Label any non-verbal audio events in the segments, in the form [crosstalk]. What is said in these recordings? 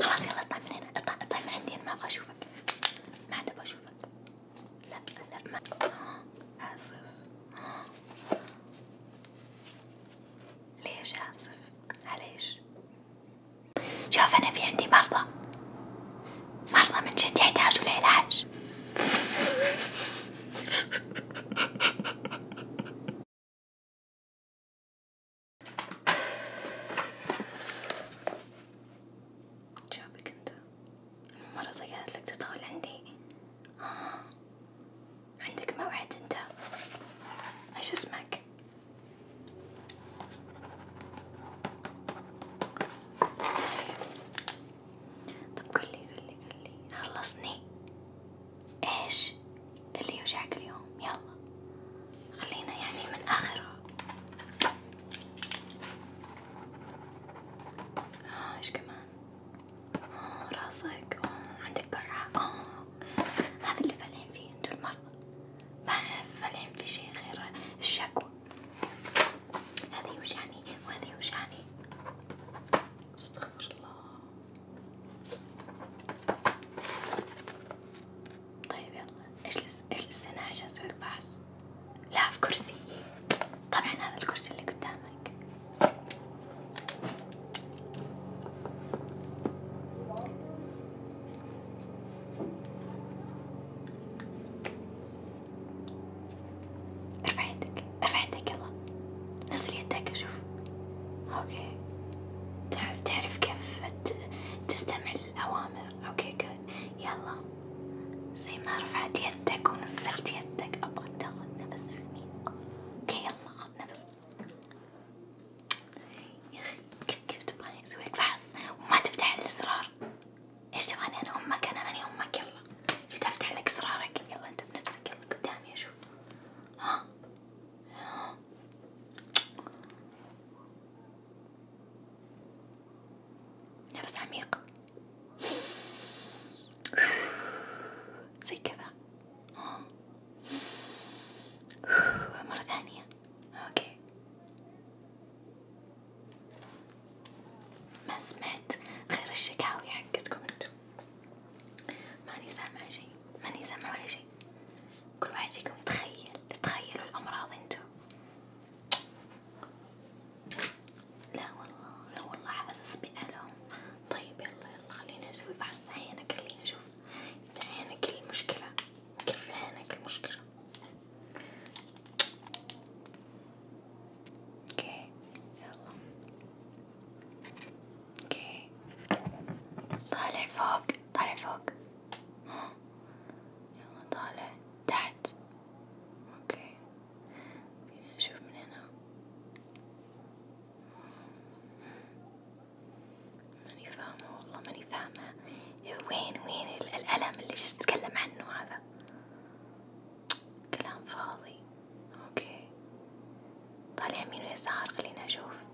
خلاص يلا اطلع من هنا اطلع اطلع من عندي انا ما ابغى اشوفك ما عاد ابغى اشوفك لا لا ما عاصف ليش عاصف عليش شوف انا في عندي مرضى مرضى من جد يحتاجوا لعلاج شابك انت؟ مرة قالت لك تدخل عندي؟ آه. عندك موعد انت؟ ايش اسمك؟ طيب قولي قولي قولي خلصني إيش اللي يوجعك اليوم يلا خلينا يعني من آخره آه إيش كمان آه راسك آه عندك قرعة آه هذا اللي فالحين فيه انتو المرضى ما فالحين في شي غير الشكوى هذا يوجعني وهذا يوجعني استغفر الله طيب يلا اجلس اجلس هنا عشان اسوي الفحص لا في كرسي طبعا هذا الكرسي اللي قدامك ارفع يدك ارفع يدك يلا نزل يدك اشوف اوكي تعرف كيف تستمع للأوامر اوكي جود يلا زي ما رفعت يدك ونزلت يدك ابغاك تاخذ نفس عميق اوكي يلا خذ نفس يا اخي كيف تبغاني اسوي لك فحص وما تفتح الازرار ايش تبغاني انا امك انا ماني امك يلا شو تفتح لك ازرارك يلا انت بنفسك يلا قدامي اشوف ها نفس عميق زي كذا مرة ثانية اوكي ما سمعت غير الشكاوي حقتكم انتو ماني سامعة شي ماني سامعة ولا شي كل واحد فيكم يتخيل تخيلوا الأمراض انتو لا والله لا والله حاسس بألم طيب يلا يلا خلينا نسوي فحص عينك خلينا نشوف عينك المشكلة كيف عينك المشكلة اوكي يلا اوكي طالع فوق طالع فوق يلا طالع تحت اوكي شوف من هنا ماني فاهمة والله ماني فاهمة وين وين الألم اللي تتكلم عنه هذا كلام فاضي اوكي طالع يمين ويسار خلينا اشوف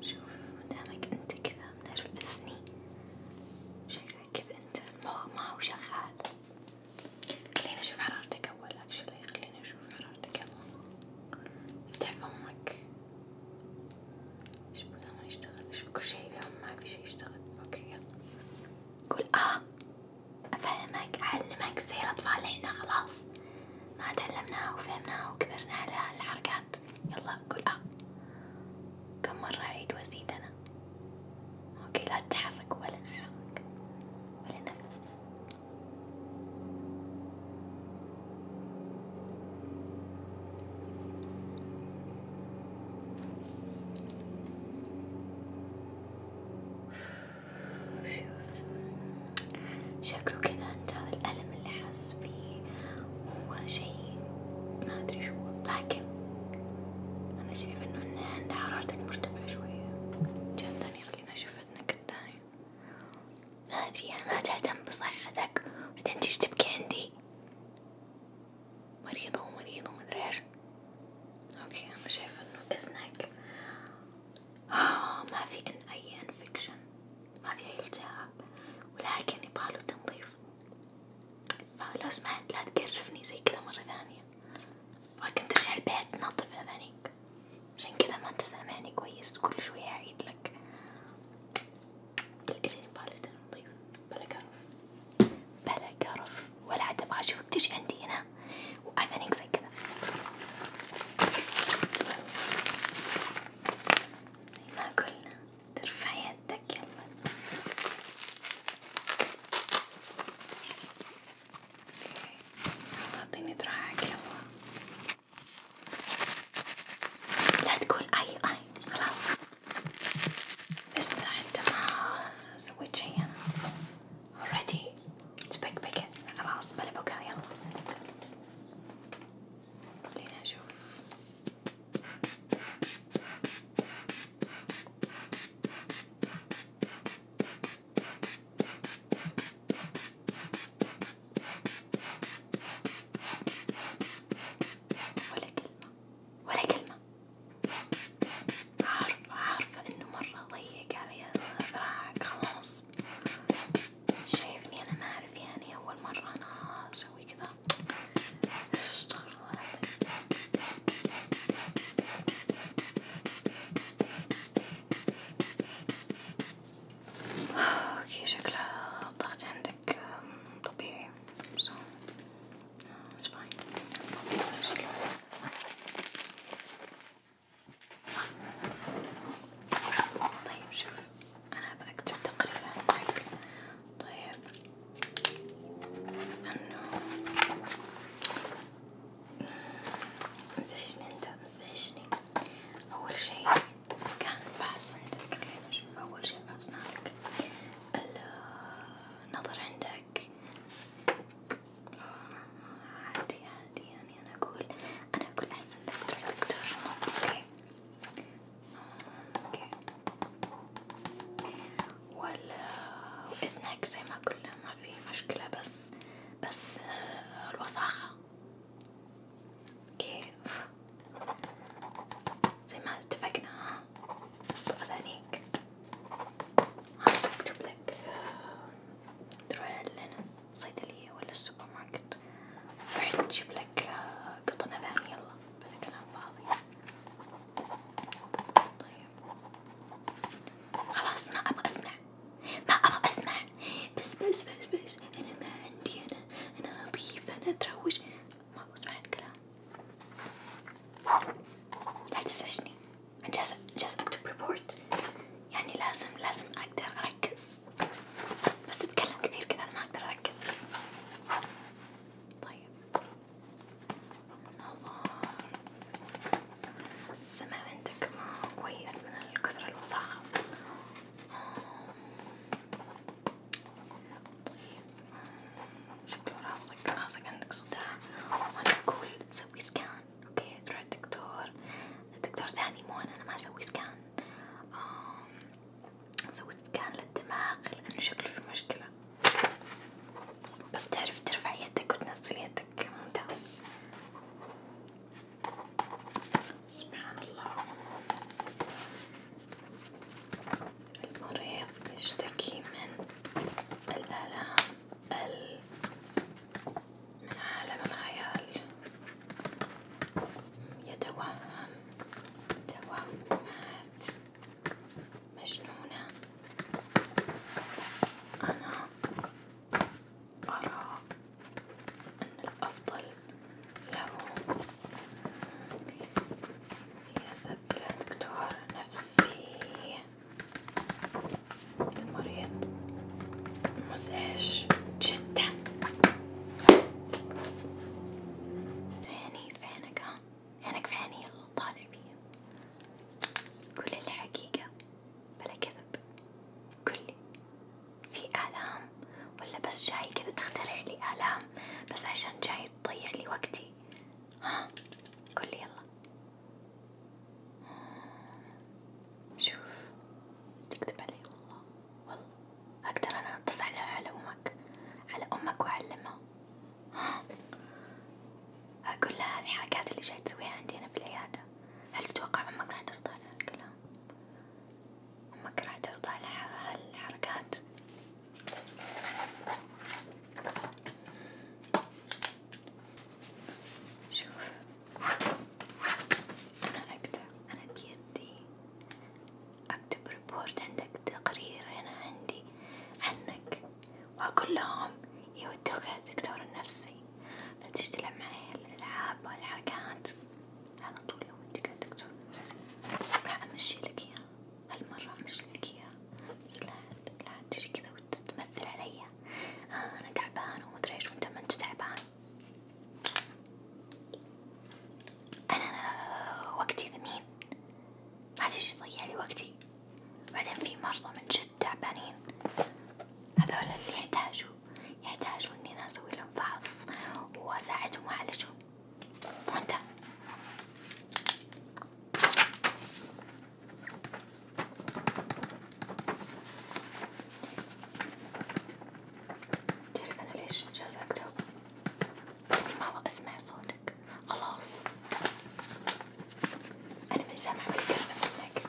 شوف مدامك انت كذا منرفزني شكلك كذا انت المخ ما هو شغال خليني اشوف حرارتك اول اكشلي خليني اشوف حرارتك اول افتح فمك ايش بدا ما يشتغل ايش كل شي اليوم ما في شي يشتغل اوكي يلا قول اه افهمك اعلمك زي الاطفال هنا خلاص ما تعلمناها وفهمناها وكبرنا على هالحركات يلا قول اه كم مرة عيد وزيد أنا اوكي لا تتحرك ولا نحرك ولا نفس شوف شكله كذا أنت هذا الألم اللي حاس بيه هو شيء ما أدري شو لكن أنا شايفة إنه إن عند حرارتك مرتفعة شوية جان تاني خلينا أشوف فتنك التاني ما أدري يعني ما تهتم بصحتك بعدين تيجي تبكي عندي مريضة ومريضة ومدري إيش أوكي أنا شايفة إنه إذنك آه ما في إن أي انفكشن ما في أي التهاب ولكن يبغاله تنظيف فلو سمحت لا تقرفني زي كذا مرة ثانية ولكن ترجع البيت نظف أذانيك عشان كذا ما انت سامعني كويس كل شوية أعيد لك الإذن يبغاله تنظيف بلا قرف بلا قرف ولا عاد أبغى أشوفك تجي عندي هنا وأذانيك زي كذا زي ما قلنا ترفع يدك يلا اعطيني دراعك يلا لا تقول اي اي خلاص لسه انت ما سويت شي انا already تبكبكت خلاص بلا بكا يلا خلينا نشوف ولا كلمة ولا كلمة عارفة عارفة انه مرة ضيق علي ذراعك خلاص شايفني أنا ما أعرف يعني أول مرة أنا أسوي كذا استغفر الله العظيم اوكي شكلها الضغط عندك طبيعي so it's fine طيب شوف أنا بكتب تقريرا لك طيب إنه مزعجني أنت مزعجني أول شي كان فحص عندك خلينا نشوف أول شي فحصنا لك النظر عندك عادي عادي يعني أنا أقول أنا أقول أحسن لك تروح دكتور أوكي آه، اوكي ولا اذنك زي ما قلنا ما في مشكلة بس بس آه، الوساخة اوكي زي ما اتفقنا ها بأذانيك ها بكتب لك آه، تروح لنا الصيدلية ولا السوبر ماركت بعد تجيب لك آه، قطن نباتي يلا بلا كلام فاضي طيب خلاص ما ابغى اسمع ما ابغى اسمع بس بس بس بس انا ما عندي انا انا نظيفة انا اتروج ما ابغى اسمع الكلام لا تزعجني جالسة جالسة اكتب ريبورت يعني لازم لازم اقدر أركز بس أتكلم كثير كذا أنا ما أقدر أركز طيب نظر السمع عندك ما كويس من الكثرة الوساخة شكله راسك راسك عندك صداع وانا اقول تسوي سكان اوكي تروح الدكتور الدكتور ثاني مو انا ما اسوي سكان نسوي سكان للدماغ لأنه شكله في مشكلة بس تعرف ترفع يدك وتنزل يدك ممتاز سبحان الله المريض يشتكي من الآلام ال من عالم الخيال يتوهم توهمات مجنونة أنا أرى أن الأفضل له يذهب إلى دكتور نفسي المريض مزعج جدا هاني فانك ها هانك في هاني اللي طالع بيه كل الحقيقة بلا كذب كلي في آلام ولا بس جاي كذا تخترع لي آلام بس عشان جاي تضيع لي وقتي ها قولي يلا شوف تكتب علي والله والله أقدر أنا أتصل على أمك على أمك وأعلمها أقول لها هذه الحركات اللي جاي تسويها عندي أنا في العيادة هل تتوقع أمك راح ترضى على هالكلام؟ أمك راح ترضى على هالحركات؟ شوف أنا أقدر أنا بيدي أكتب ريبورت عندك تقرير هنا عندي عنك وأقول لهم يودوك الدكتور النفسي فتشتغل معي الألعاب والحركات على طول يودوك الدكتور النفسي راح أمشي لك إياه هالمرة أمشي لك إياه بس لا لا تجي كذا وتتمثل عليا آه أنا تعبان ومدري إيش وأنت ما أنت تعبان أنا وقتي ثمين ما تجي تضيع لي وقتي بعدين في مرضى من جد تعبانين هذول اللي يحتاجوا يحتاجوا إني أنا أسوي لهم فحص وأساعدهم وأعالجهم وأنت بتعرف أنا ليش جازك تو؟ ما أبغى أسمع صوتك خلاص أنا من سامع بالكلمة منك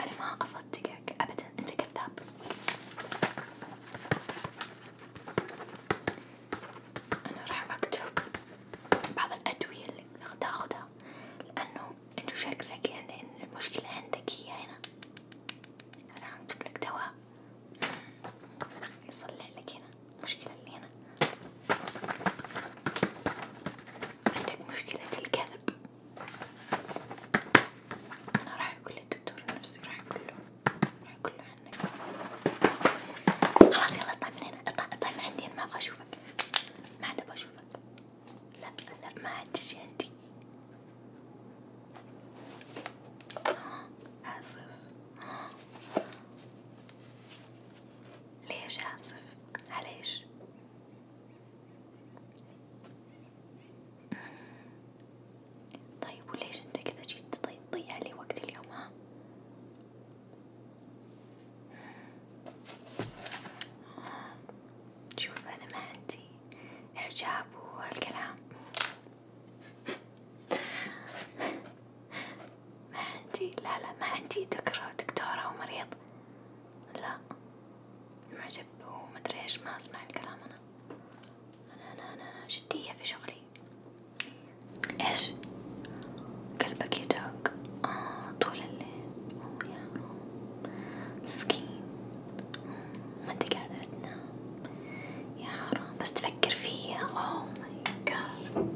أنا ما أصدقك أبدا أنت كذاب أنا راح أكتب بعض الأدوية اللي تاخذها لأنه أنت شكلك يعني إن المشكلة عندك هي هنا أنا عم أكتب لك دواء يصلح لك هنا مشكلة اللي هنا عندك مشكلة الكذب أنا راح أقول للدكتور النفسي راح أقول له راح أقول له عنك خلاص يلا اطلع من هنا اطلع اطلع من عندي أنا ما أبغى أشوفك ما عاد أبغى أشوفك لا لا ما عاد تجي عندي آسف ليش آسف؟ عليش؟ طيب وليش انت كذا جيت طيب تضيع لي وقت اليوم ها؟ شوف أنا ما عندي إعجاب وهالكلام ما عندي لا لا ما عندي دكرة دكتورة ومريض لا معجب ومدري ايش ما اسمع الكلام أنا. أنا أنا أنا أنا جدية في شغلي ايش قلبك يدق آه طول الليل أوه يا روم مسكين ما انت قادر تنام يا حرام بس تفكر فيا اوه ماي جاد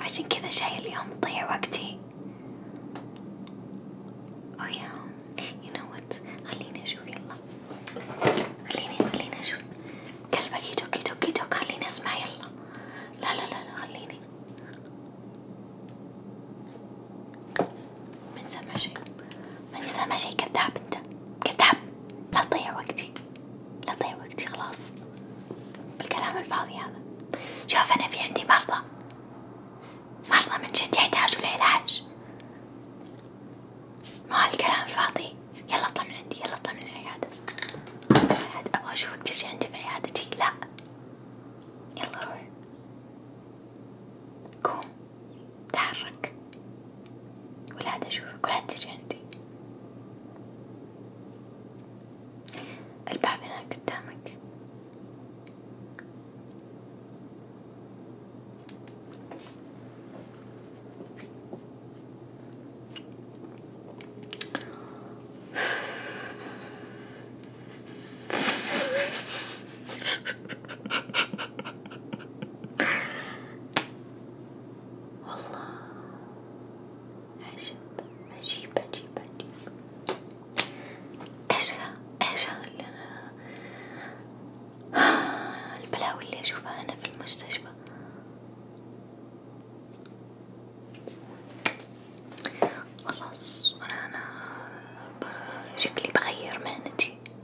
عشان كذا جاي اليوم تضيع وقتي اوه يا يو نو وات خليني اشوف يلا خليني خليني اشوف قلبك يدق يدق يدق خليني اسمع يلا لا لا لا, لا خليني من سامع شيء ماني سامع شيء كذاب انت كذاب لا تضيع وقتي لا تضيع وقتي خلاص بالكلام الفاضي هذا شوف انا في عندي مرضى مرضى من جد يحتاجوا لعلاج ما هالكلام الفاضي يلا اطلع من عندي يلا اطلع من العيادة ابغى اشوفك تجي عندي في عيادتي لا يلا روح قوم تحرك ولا عاد أشوفك ولا عاد تجي عندي الباب هناك قدامك [laughs] والله عجب عجيب عجيب عجيب ايش ذا ايش ذا اللي انا البلاوي اللي اشوفها انا في المستشفى خلاص انا انا شكلي بغير مهنتي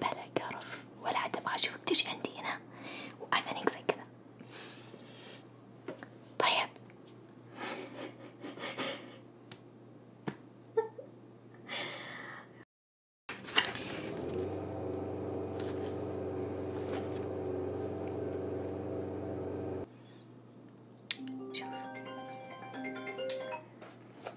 بلا قرف ولا عاد ابغى اشوفك تجي عندي هنا واذنك زي كذا طيب شوف